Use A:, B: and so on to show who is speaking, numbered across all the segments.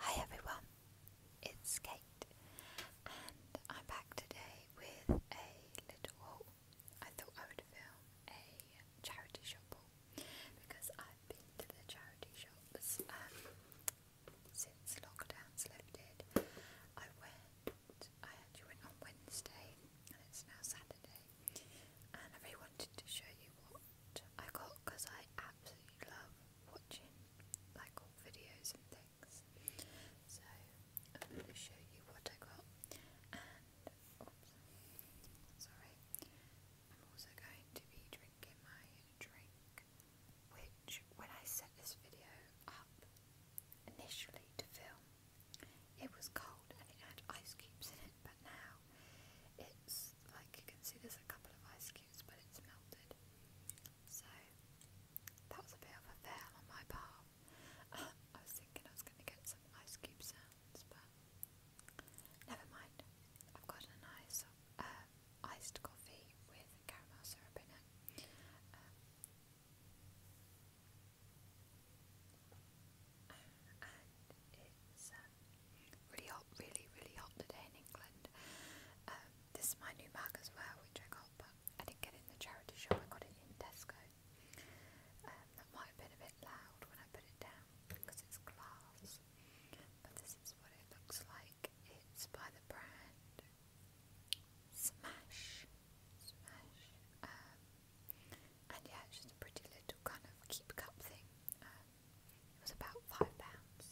A: Hi everyone, it's Kate, and I'm back today with a little I thought I would film a charity shop because I've been to the charity shops um, since lockdown's lifted. I went, I went on Wednesday, and it's now Saturday, and I really wanted to show you what I got because I absolutely love watching like all videos and things. So I'm going to show you what I got, and sorry. I'm also going to be drinking my drink, which when I set this video up initially to film, it was cold and it had ice cubes in it, but now now. It's like you can see there's a couple of ice cubes, but it's melted. So that was a bit of a fail on my part. Um, I was thinking I was going to get some ice cube sounds, but never mind. I've got a nice um, iced coffee with caramel syrup in it. Um, it's um, really hot, really, really hot today in England. Um, this is my new mug as well, which I got, but I didn't get in the charity shop, I got it in Tesco. Um, that might have been a bit loud when I put it down because it's glass, but this is what it looks like. It's by the brand Smash. Smash. And yeah, it's just a pretty little kind of keep cup thing. Um, it was about five pounds.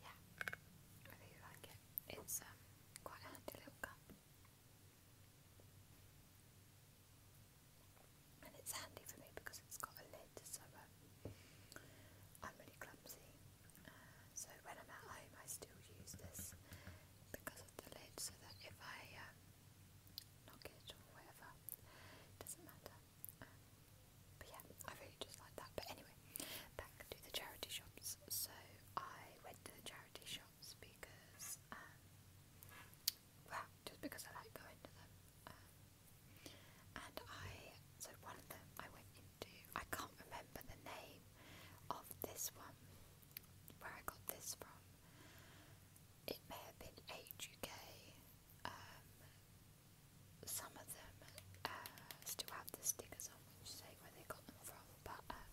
A: Yeah, I really like it. It's um, quite a handy little cup. And it's handy for me because it's got a lid, so um, I'm really clumsy uh, so when I'm at home, I still use this because of the lid, so that if I um, knock it or whatever, it doesn't matter. Um, but yeah, I really just like that. But anyway, back to the charity shops. So I went to the charity shops because, um, well, just because I like going to them. Um, and I, so one of them I went into, I can't remember the name name of this one, where I got this from. It may have been HUK. Um, some of them uh, still have the stickers on which say where they got them from, but um,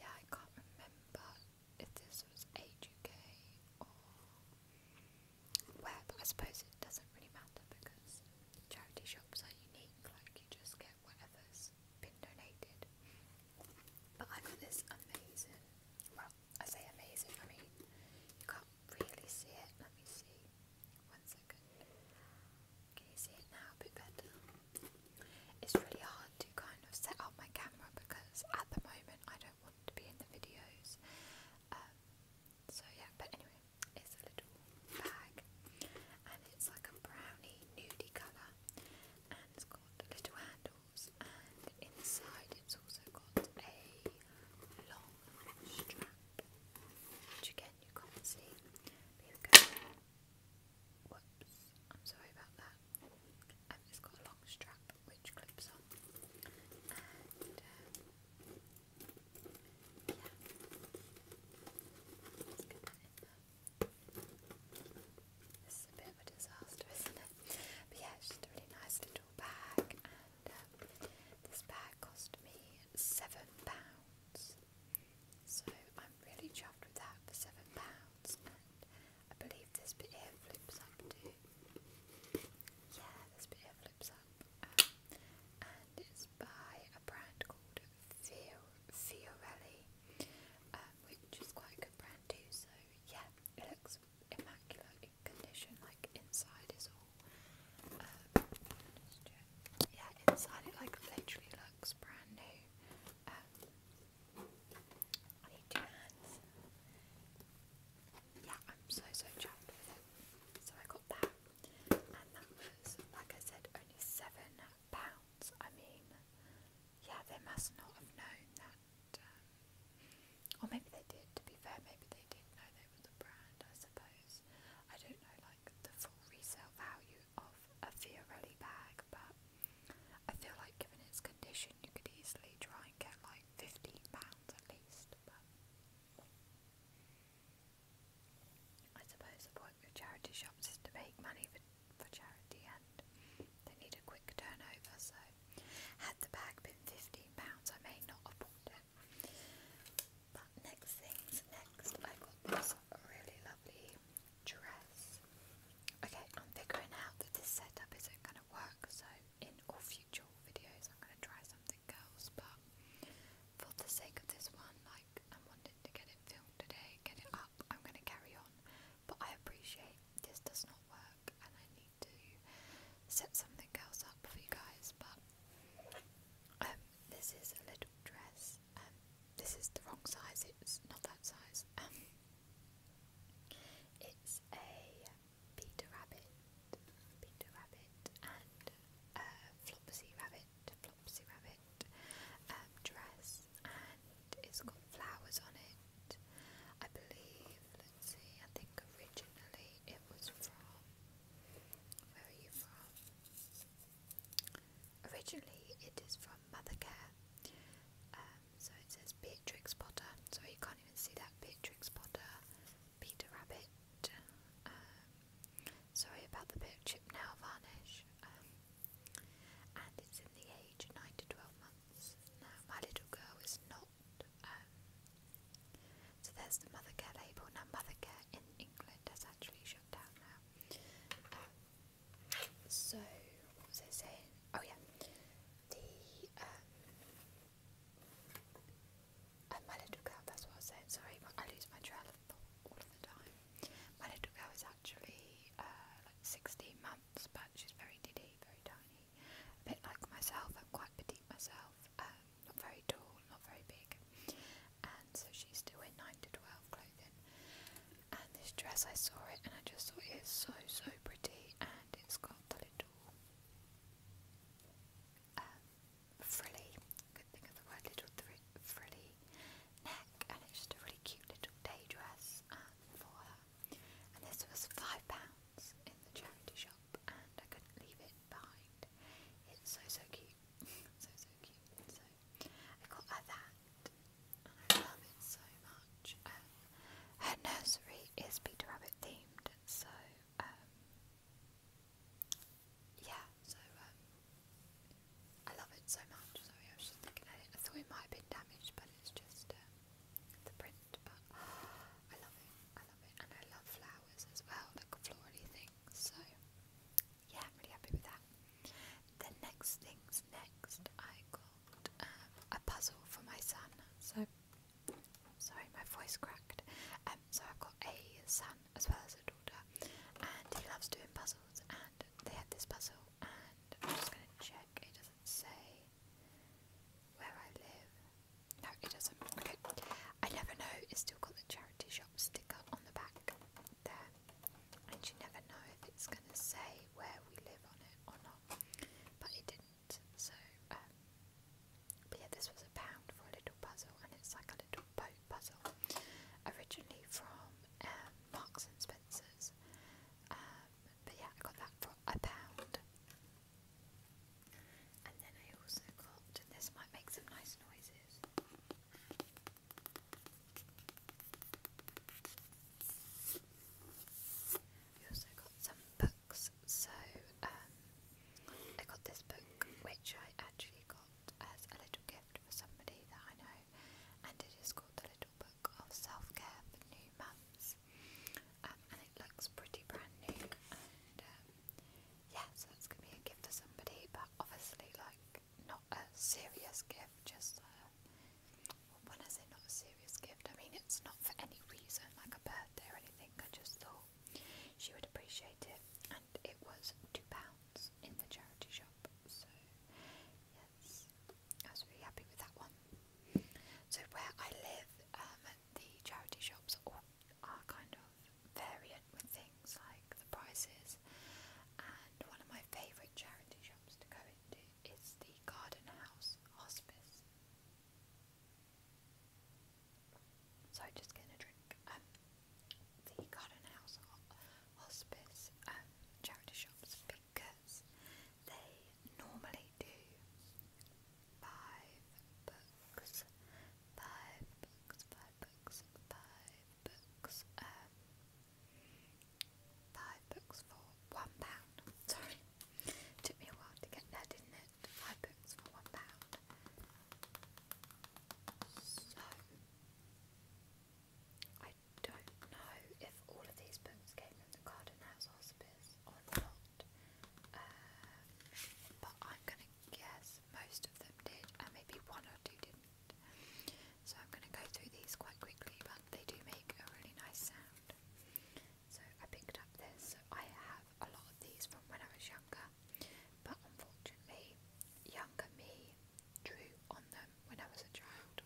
A: yeah, I can't remember if this was HUK or where, I suppose it doesn't really matter because Charity shops are unique, like you just get whatever's been donated. But I got this amazing, well, I say amazing, I mean, you can't really see it. Let me see. One second. Can you see it now bit better? It's really hard to kind of set up my camera because at the moment I don't want to be in the videos. Um, so yeah, but anyway, it's a little bag and it's like a brownie nudie colour and it's got little handles and inside it's also got a long strap which again you can't see. Here I'm sorry about that. Um, it's got a long strap which clips on um, yeah. This is a bit of a disaster, isn't it? But yeah, it's just a really nice little bag, and um, this bag cost me seven pounds. So I'm really chuffed with that for seven pounds, and I believe this bit here flips up too. Yeah, this bit here and it's by a brand called Fiorelli, uh, which is quite a good brand too. So yeah, it looks immaculate condition. Like inside is all, uh, yeah, inside it like literally looks brand new. Um, I need two hands. Yeah, I'm so so chuffed So I got that. And that was, like I said, only seven pounds. I mean, yeah, they must not have known that. Um, or maybe they did, to be fair, maybe they did know they were the brand, I suppose. I don't know, like, the full resale value of a Fiorelli bag, but I feel like given its condition, you could easily try and get, like, £15 at least. But I suppose the point with charity shops to make money for, for charity and they need a quick turnover, so had the bag been £15 I may not have bought it. But next things next, I got this really lovely dress. Okay, I'm figuring out that this setup isn't going to work, so in all future videos I'm going to try something else, but for the sake of this one, like I wanted to get it filmed today, get it up, I'm going to carry on. But I appreciate this does not work and I need to set something else up for you guys, but um, this is a little dress. Um, this is the wrong size, it's not that size. Um, it's a Peter Rabbit, Peter Rabbit, and uh, Flopsy Rabbit, Flopsy Rabbit um, dress, and it's got flowers on it. I believe, let's see, I think originally it was from. Where are you from? Originally, it is from Mothercare. Um, so it says Beatrix Potter. Sorry, you can't even see that. Beatrix Potter, Peter Rabbit. Um, sorry about the bit of chip now varnish. Um, and it's in the age 9 to 12 months. Now, my little girl is not. Um, so there's the mother Mothercare label. Now, Mothercare in England has actually shut down now. so, what was I saying? Oh, yeah. The and Malidukau, that's what I am saying. sorry, I lose my trail of thought all of the time. My little girl is actually uh, like 16 months, but she's very diddy, very tiny. A bit like myself, I'm quite petite myself, um, not very tall, not very big. And so she's still in 9 to 12 clothing. And this dress, I saw it and I just thought it is so, so pretty, and it's got the little um, frilly, could think of the word little frilly neck, and it's just a really cute little day dress um, for her. And this was five pounds in the charity shop, and I couldn't leave it behind. It's so so cute, so so cute. So I got her that, and I love it so much. Um, her nursery is Peter Rabbit themed, so um, yeah, so um, I love it so much. Sorry, I was just looking at it. I thought it might have damaged, but it's just the print. But I love it, I love it, and I love flowers as well, like florally things. So yeah, really happy with that. The next things next, I got. Uh, a puzzle for my son. So, sorry, my voice cracked. Um, so I've got a son as well as a daughter, and he loves doing puzzles. And they had this puzzle, and I'm just gonna check. It doesn't say where I live. No, it doesn't. Okay, I never know. It's still got the charity shop sticker on the back there, and you never know if it's gonna say where we live on it or not well, but it didn't. So, um, but yeah, this was a pound for a little puzzle, and it's like a little boat puzzle, originally from um, Marks and Spencers. Um, but yeah, I got that for a pound. And then I also got, this might make some nice noises. We also got some books. So um, I got this book, which I actually got as a little gift for somebody that I know, and it is called The Little Book of Self Care for New Mums. Um, and it looks pretty brand new, and um, that's gonna be a gift for somebody, but obviously, like, not a serious gift, just um, when I say not a serious gift, I mean it's not for any reason, like a birthday or anything. I just thought she would appreciate it, and it was two pounds in the charity shop. So yes, I was really happy with that one. So where I live, um, the charity shops are, are kind of variant with things like the prices, and one of my favourite charity shops to go into it's the Garden House Hospice. So just getting a drink. Um, the Garden House Hospice um, charity shops because they normally do five books, five books, five books, five books. Um, Five books for one pound. Sorry, took me a while to get there, didn't it? Five books for one pound. So, I don't know if all of these books came from the Garden House Hospice or not, uh, but I'm gonna guess most of them did, and maybe one or two didn't. So I'm going to go through these quite quickly, but they do make a really nice sound. So I picked up this. So I have a lot of these from when I was younger, but unfortunately, younger me drew on them when I was a child.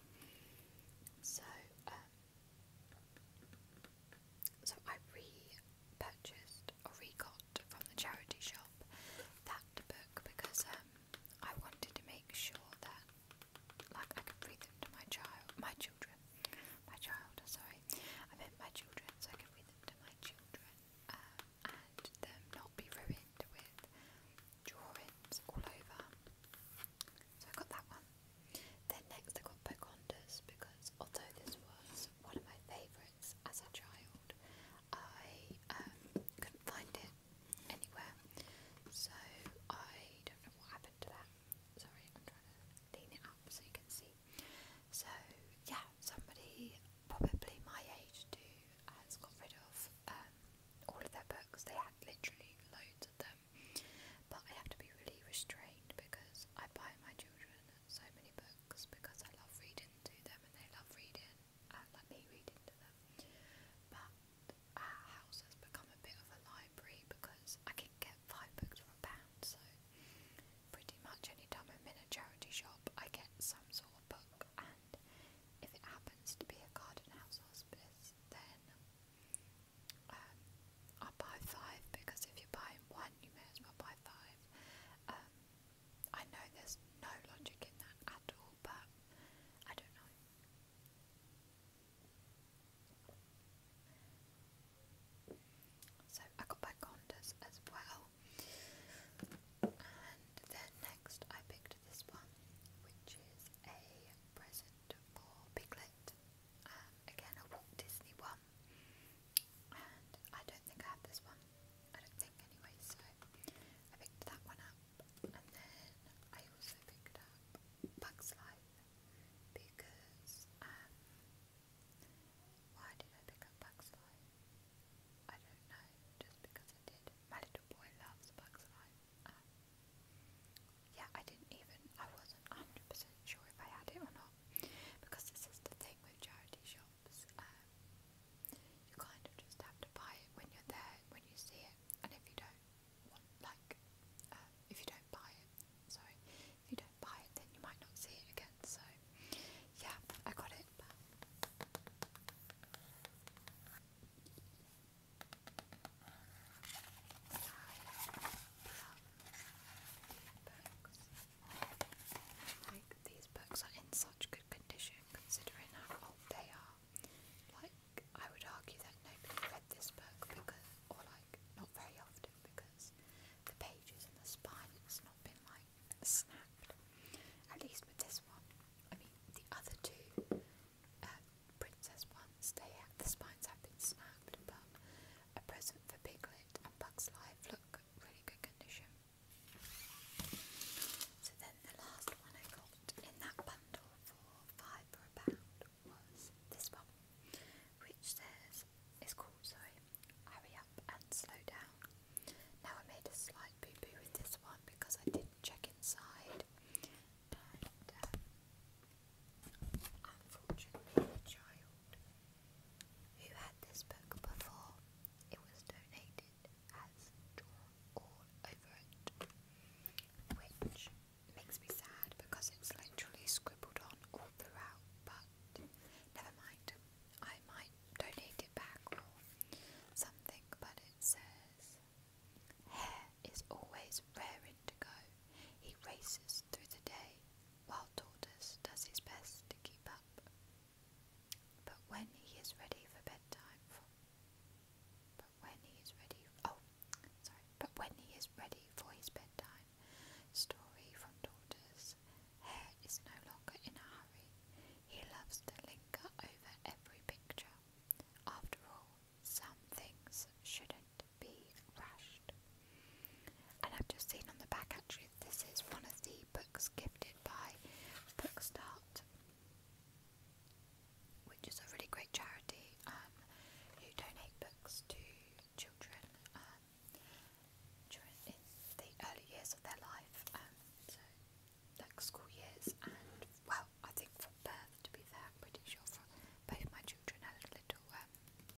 A: So, um, so I re-purchased or re-got from the charity shop that book because um, I wanted to make sure that, like, I could read them to my child, my children, my child. Sorry, I meant my children, so I can read them to my children, uh, and them not be ruined with drawings all over. So I got that one. Then next I got Pocahontas because although this was one of my favourites as a child, I um, couldn't find it anywhere, so I don't know what happened to that. Sorry, I'm trying to lean it up so you can see. So, yeah, somebody probably my age too has got rid of um, all of their books. They had literally loads of them, but I have to be really restrained because I buy my children so many books because I love reading to them and they love reading and uh, let me read into them. But our house has become a bit of a library because I can get five books for a pound, so pretty much any time I'm in a charity shop, I get some sort of book, and if it happens to be a garden house hospice, then um, I'll buy five because if you're buying one, you may as well buy five. Um, I know there's no logic in that at all, but I don't know. So I got Bicondas as well. And then next I picked this one, which is a present for Piglet. Um, again, a Walt Disney one. And I don't think I have this one. I don't think anyway, so I picked that one up and then I also picked up Bugs Life because um, why did I pick up Bugs Life? I don't know, just because I did. My little boy loves Bugs Life. Um, yeah, I didn't even, I wasn't 100% sure if I had it or not because this is the thing with charity shops shops. you kind of just have to buy it when you're there, when you see it, and if you don't like, um, if you don't buy it, sorry, if you don't buy it, then you might not see it again. So, yeah, I got it. Like, these books are in such good condition considering how old they are. Like, I would argue that nobody read this book because, or like, not very often because the pages and the spine, it's not been like snapped. At least with this one. I mean, the other two uh, princess ones, they have, the spines have been snapped, but A Present for Piglet and Bug's Life look really good condition. So then the last one I got in that bundle for five for a pound was this one, which says, it's called, sorry, Hurry Up and Slow Down. Now I made a slight boo-boo with this one because I didn't check inside um, unfortunately the child who had this book before it was donated has drawn over it. Which makes me sad because it's literally scribbled on all throughout, but never mind. I might donate it back or something, but it says Hair is always raring to go. He races through the day while Tortoise does his best to keep up. But when he is ready for bedtime, but when he is ready, oh, sorry, but when he is ready for his bedtime story from Tortoise, Hare is no longer in a hurry. He loves to linger over every picture. After all, some things shouldn't be rushed. And I've just seen on the back actually this is one of the books gifted by Bookstart, which is a really great charity um, who donate books to children um, during the early years of their life, um, so like school years, and well, I think from birth to be fair, I'm pretty sure both my children had a little